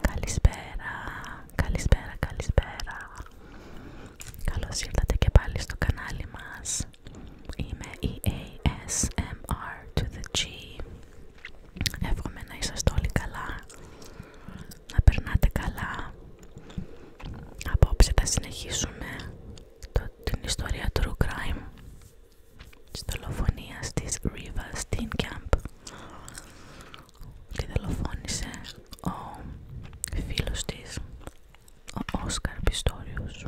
Καλησπέρα, καλησπέρα, καλησπέρα. Καλώς ήρθατε και πάλι στο κανάλι μας. Είμαι η ASMR to the G. Εύχομαι να είσαστε όλοι καλά, να περνάτε καλά. Απόψε θα συνεχίσουμε την ιστορία True Crime της τη της Riva Steenkamp και δολοφόνησε ο φίλος της, ο Όσκαρ Πιστόριος.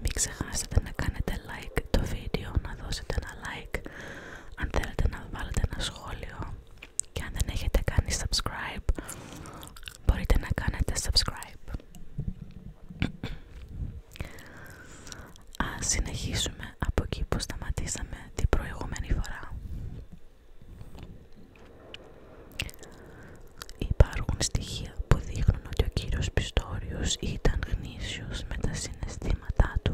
Μην ξεχάσετε να κάνετε like το βίντεο, να δώσετε ένα like αν θέλετε να βάλετε ένα σχόλιο και αν δεν έχετε κάνει subscribe μπορείτε να κάνετε subscribe Ας συνεχίσουμε από εκεί που σταματήσαμε την προηγούμενη φορά Υπάρχουν στοιχεία που δείχνουν ότι ο κύριος Πιστόριος ήταν γνήσιος με τα συναισθήματά του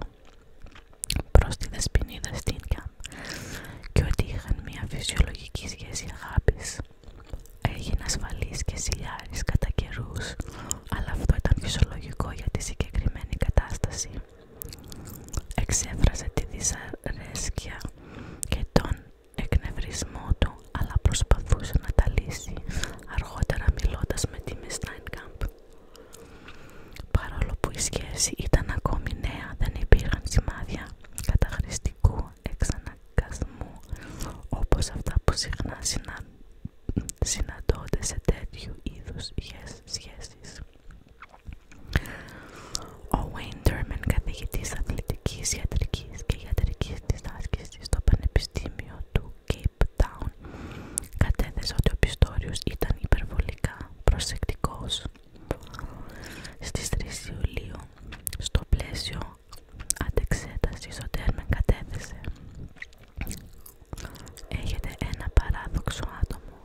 προς τη δεσποινίδα Καμπ και ότι είχαν μια φυσιολογική σχέση αγάπης. Έγινε ασφαλής και σιλιάρης κατά καιρού, αλλά αυτό ήταν φυσιολογικό για τη συγκεκριμένη κατάσταση. Εξέφρασε τη δυσαρέσκεια και τον εκνευρισμό του, αλλά προσπαθούσε να τα λύσει αργότερα μιλώντας με τη Μισ Παρόλο που η σχέση ήταν ακόμη νέα, δεν υπήρχαν σημάδια καταχρηστικού εξαναγκασμού όπως αυτά που συχνά συναντώνται σε τέτοιου είδους yes, σχέσεις. Ο Wayne καθηγητής αθλητικής, ιατρικής και ιατρικής της στο Πανεπιστήμιο του Cape Town, κατέθεσε ότι ο Πιστόριος ήταν υπερβολικά προσεκτικός στις 3 Ιουλίου, στο πλαίσιο αντεξέτασης, ο Τέρμεν κατέθεσε Έχετε ένα παράδοξο άτομο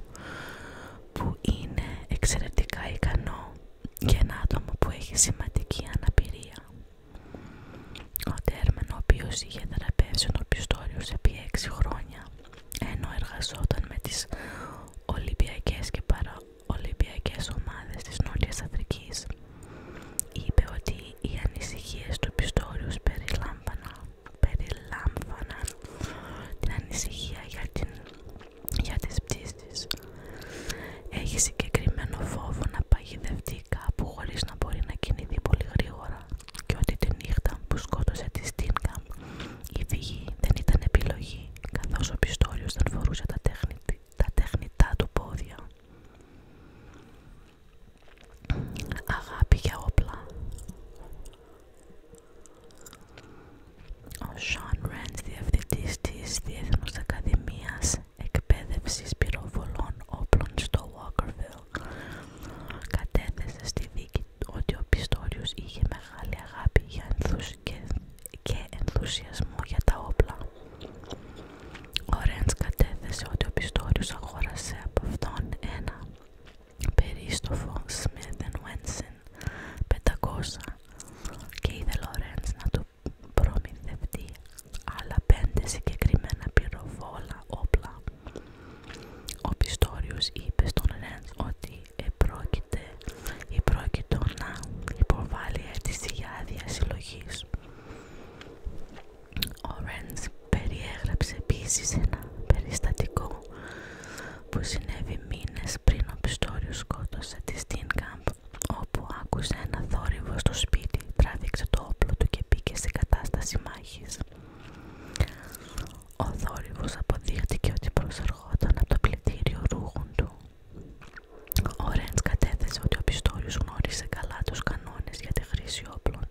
που είναι εξαιρετικά ικανό και ένα άτομο που έχει σημαντική αναπηρία. Ο Τέρμαν, ο οποίος είχε θεραπεύσει τον πιστόριο επί 6 χρόνια, ενώ εργαζόταν με τις Ολυμπιακές και παραολυμπιακές ομάδες της Νότιας Αφρικής. Είπε ότι οι ανησυχίες του Πιστόριους περιλάμβαναν την ανησυχία για, την, για τις πτήσεις. Έχει συγκεκριμένο φόβο να παγιδευτεί κάπου χωρίς να μπορεί να κινηθεί πολύ γρήγορα και ότι τη νύχτα που σκότωσε τη Στίνκα η φυγή δεν ήταν επιλογή καθώς ο πιστόριο δεν φορούσε τα, τα τέχνητά του πόδια. Αγάπη για όπλα. Ο Σαν Ρέντς, διευθυντής της Διεθνούς Ακαδημίας Εκπαίδευσης Πυροβολών Όπλων στο Walkerville Κατέθεσε στη δίκη ότι ο πιστόριο είχε μεγάλη αγάπη για και ενθουσιασμό για τα όπλα. Ο Ρέντς κατέθεσε ότι ο πιστόριο αγόρασε από αυτόν ένα περίστοφο Smith Wesson 500 και ήθελε ο Ρέντς να του προμηθευτεί άλλα πέντε συγκεκριμένα πυροβόλα όπλα ο Πιστόριος είπε στον Ρέντς ότι επρόκειται, επρόκειτο να υποβάλει αίτηση για άδεια συλλογής. Ο Ρέντς περιέγραψε επίσης ένα περιστατικό που συνέβη μήνες πριν ο Πιστόριος σκότωσε τη Στίνκαμπ όπου άκουσε ένα θόρυβο στο σπίτι, τράβηξε το όπλο του και μπήκε σε κατάσταση μάχης. Ο θόρυβος αποδείχτηκε ότι προσερχόταν από το πληθύριο ρούχων του. Ο Ρέντς κατέθεσε ότι ο Πιστόριος γνώρισε καλά τους κανόνες για τη χρήση όπλων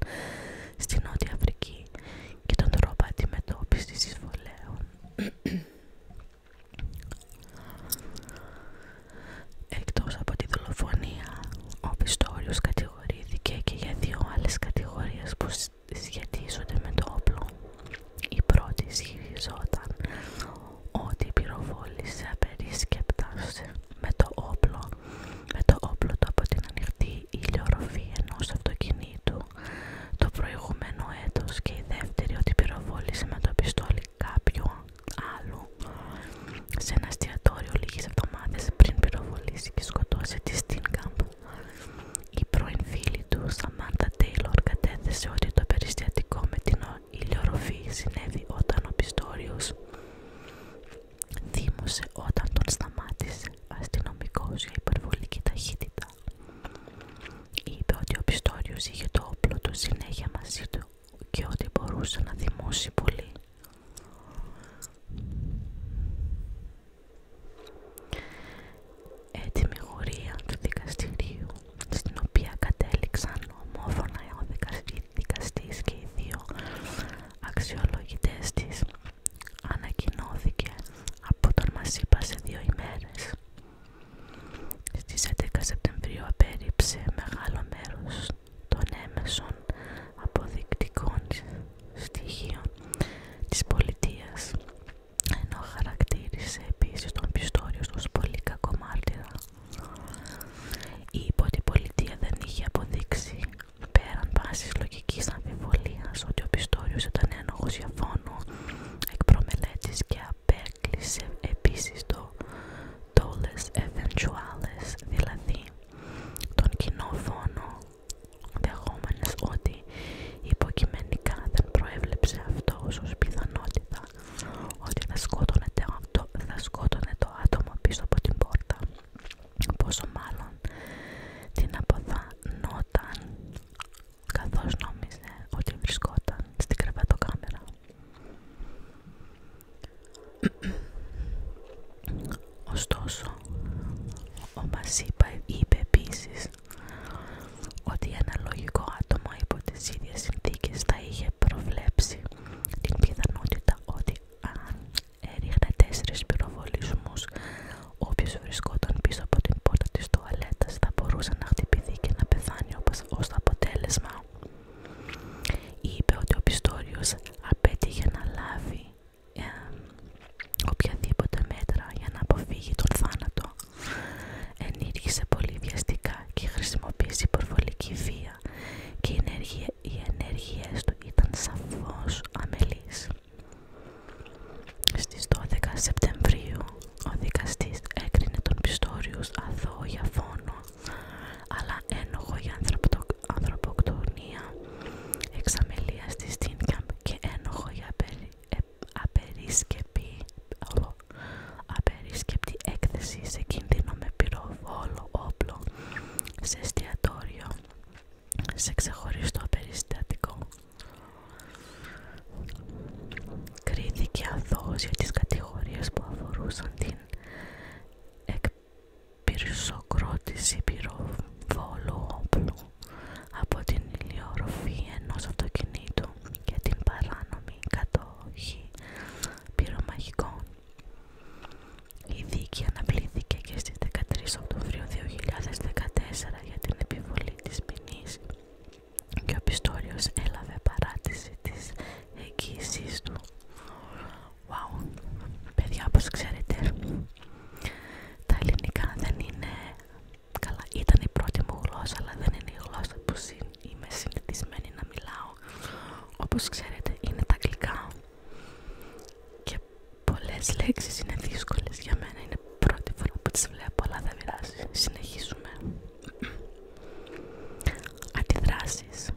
στην Νότια Αφρική και τον τρόπο αντιμετώπισης εισβολέων. Εκτός από τη δολοφονία, ο Πιστόριος κατηγορούσε κατηγορήθηκε και για δύο άλλες κατηγορίες που σχετίζονται με το όπλο. Η πρώτη ισχυριζόταν ότι πυροβόλησε απερίσκεπτα με το όπλο, με το όπλο το από την ανοιχτή ηλιορροφή ενός αυτοκινήτου το προηγούμενο έτος και η δεύτερη ότι πυροβόλησε με το πιστόλι κάποιου άλλου σε ένα εστιατόριο λίγες εβδομάδες πριν πυροβολήσει και σκοτώσει τη Στίνκαμπ. Η πρώην φίλη του, Σαμάντα Τέιλορ, κατέθεσε ότι το περιστατικό με την ηλιορροφή συνέβη όταν ο Πιστόριος δήμωσε όταν τον σταμάτησε αστυνομικός για υπερβολική ταχύτητα. Είπε ότι ο Πιστόριος είχε το όπλο του συνέχεια μαζί του και ότι μπορούσε να θυμώσει πολύ. Έτοιμη γορία του δικαστηρίου, στην οποία κατέληξαν ομόφωνα ο δικαστής και οι δύο αξιολογητές της, ανακοινώθηκε από τον Μασίπα σε δύο ημέρες. Στις 11 Σεπτεμβρίου απέριψε μεγάλο μέρος των έμεσων αποδεικτικών στοιχείων της πολιτείας ενώ χαρακτήρισε επίσης τον Πιστόριο ως πολύ ότι Η πολιτεία δεν είχε αποδείξει πέραν πάσης λογικής αμφιβολίας ότι ο Πιστόριος ήταν ένοχος για εκ προμελέτης και απέ κλησε επίσης το «Toles Eventuales», δηλαδή τον κοινό φόνο, δεχόμενες ότι υποκειμενικά δεν προέβλεψε αυτό ως πιθανότητα ότι θα σκότωνε το, θα σκότωνε το άτομο πίσω από την πόρτα, πόσο μάλλον την αποθανόταν καθώς νόμιζε ότι βρισκόταν στην κρεβατοκάμερα. Ωστόσο, ο Μασίπα είπε επίση ότι ένα λογικό άτομο υπό τις ίδιες συνθήκες θα είχε προβλέψει την πιθανότητα ότι αν έριχνε τέσσερις πυροβολισμούς όποιος βρισκόταν πίσω από την πόρτα της τουαλέτας θα μπορούσε να χτυπηθεί και να πεθάνει ως αποτέλεσμα Είπε ότι ο Πιστόριος απέτυχε να λάβει οποιαδήποτε μέτρα για να αποφύγει τον θάνατο. Ενήργησε πολύ βιαστικά και χρησιμοποίησε υπορβολική βία και οι, ενέργεια, οι του ήταν σαφώς αμελείς. Στις 12 Σεπτεμβρίου ο δικαστής έκρινε τον Πιστόριους αθώο για φόνο, αλλά ένοχο για ανθρωποκτονία, εξαμελία στη Στίνκαμπ και ένοχο για ε, απερίσκεπτη έκθεση σε κίνδυνο με πυροβόλο όπλο σε εστιατόριο, σε ξεχωριστό περιστατικό. Κρίθηκε αθώος για τις κατηγορίες που αφορούσαν την εκπυρσοκρότηση πυροβόλου όπλου από την ηλιορροφή ενός αυτοκινήτου και την παράνομη κατοχή πυρομαχικών. Η δίκη αναπλήθηκε και στις 13 Οκτωβρίου 2014 για την επιβολή της ποινής και ο Πιστόριος έλαβε παράτηση της εγγύησής του. Wow, παιδιά όπως ξέρετε τα ελληνικά δεν είναι καλά. Ήταν η πρώτη μου γλώσσα αλλά δεν είναι η γλώσσα που είμαι συνηθισμένη να μιλάω. Όπως ξέρετε είναι τα αγγλικά και πολλές λέξεις είναι δύσκολες για μένα. Είναι Πρώτη φορά που τις βλέπω, αλλά δεν πειράζει. Συνεχίζουμε. Αντιδράσεις.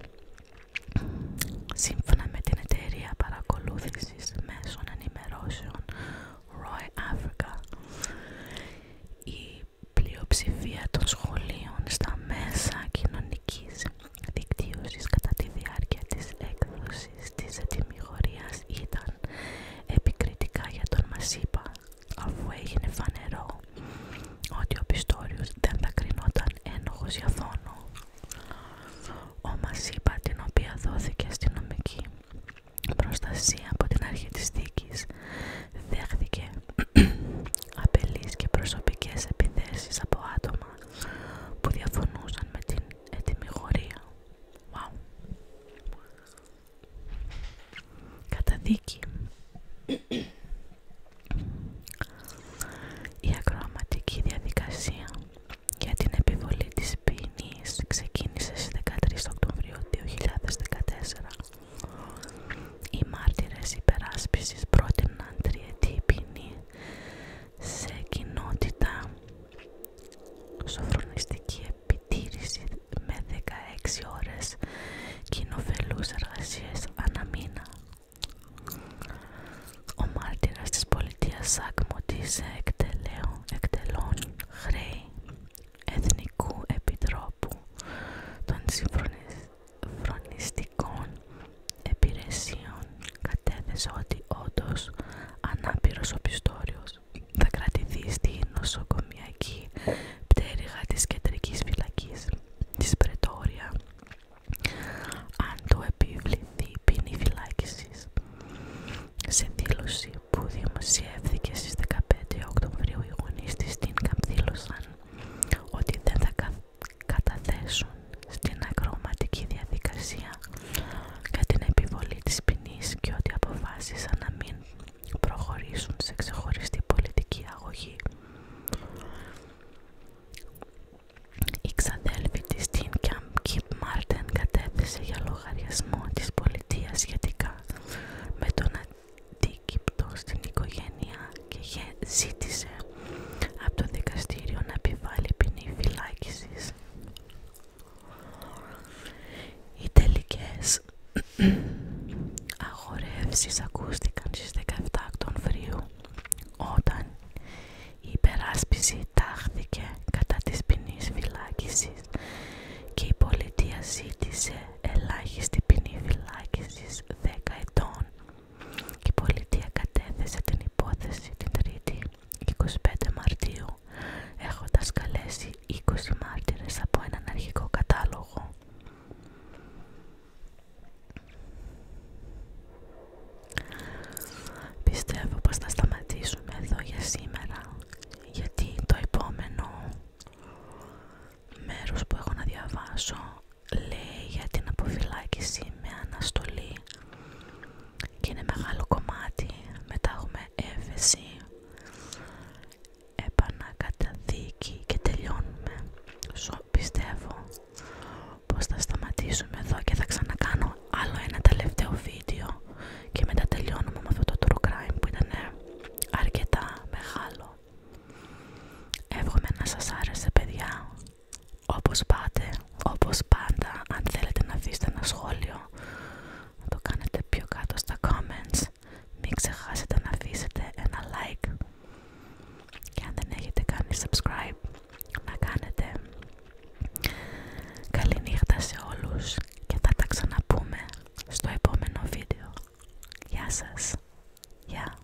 Σύμφωνα με την εταιρεία παρακολούθησης μέσων ενημερώσεων Roy Africa, η πλειοψηφία των σχολείων στα μέσα κοινωνικής δικτύωσης κατά τη διάρκεια της έκδοσης της ετοιμιγορίας ήταν επικριτικά για τον Μασίπα, αφού έγινε φανερό ότι ο Πιστόριος δεν θα κρινόταν ένοχος για θόνο. Ο Μασίπα, την οποία δόθηκε αστυνομική προστασία από την αρχή της δίκης, δέχθηκε απελείς και προσωπικές επιθέσεις από άτομα που διαφωνούσαν με την ετοιμιγορία. Καταδίκη Η ακροαματική διαδικασία για την επιβολή της ποινής ξεκίνησε στις 13 Οκτωβρίου 2014. Οι μάρτυρες υπεράσπισης πρότειναν τριετή ποινή σε κοινότητα σοφρονιστική επιτήρηση με 16 ώρες κοινοφελούς εργασίες ανά μήνα. Ο μάρτυρας της πολιτείας Σάκμωτης εκτελών χρέη Εθνικού Επιτρόπου των Συμφρονιστικών Επιρεσίων κατέθεσε ότι όντως ανάπηρος ο πιστόριος θα κρατηθεί στη νοσοκομιακή πτέρυγα της κεντρικής φυλακής της Πρετόρια αν του επιβληθεί ποινή φυλάκισης σε δήλωση που δημοσιεύθηκε στις 15 Οκτωβρίου οι γονείς της Τίνκαμ δήλωσαν ότι δεν θα καταθέσουν στην ακροματική διαδικασία για την επιβολή της ποινής και ότι αποφάσισαν να μην προχωρήσουν σε ξεχωριστή πολιτική αγωγή. Η ξαδέλφη της στην Κιμπ Μάρτεν κατέθεσε για λογαριασμό της πολιτείας σχετικά με τον αντίκυπτο στην οικογένεια και ζήτησε από το δικαστήριο να επιβάλλει ποινή φυλάκισης οι τελικές αγορεύσει ακούστηκαν στις 17 φρίου, όταν η υπεράσπιση τάχθηκε κατά της ποινής φυλάκισης και η πολιτεία ζήτησε ελάχιστη ποινή φυλάκισης 10 ετών. Η πολιτεία κατέθεσε την υπόθεση την Τρίτη 25 Μαρτίου έχοντας καλέσει 20 μάρτυρες από έναν αρχικό κατάλογο. Πιστεύω πως θα σταματήσουμε εδώ για σήμερα γιατί το επόμενο μέρος που έχω να διαβάσω λέει για την αποφυλάκηση με αναστολή και είναι μεγάλο κομμάτι. Μετά έχουμε έφεση, επανακαταδίκη και τελειώνουμε. Σου πιστεύω πως θα σταματήσουμε εδώ και θα ξανακάνω άλλο ένα τελευταίο βίντεο και μετά τελειώνουμε με αυτό το true crime που ήταν αρκετά μεγάλο. Εύχομαι να σας άρεσε παιδιά. Όπως πάτε, όπως πάντα, αν θέλετε να αφήσετε ένα σχόλιο, να το κάνετε πιο κάτω στα comments. Μην ξεχάσετε να αφήσετε ένα like. Και αν δεν έχετε κάνει subscribe, να κάνετε. Καληνύχτα σε όλους και θα τα ξαναπούμε στο επόμενο βίντεο. Γεια σας. Γεια.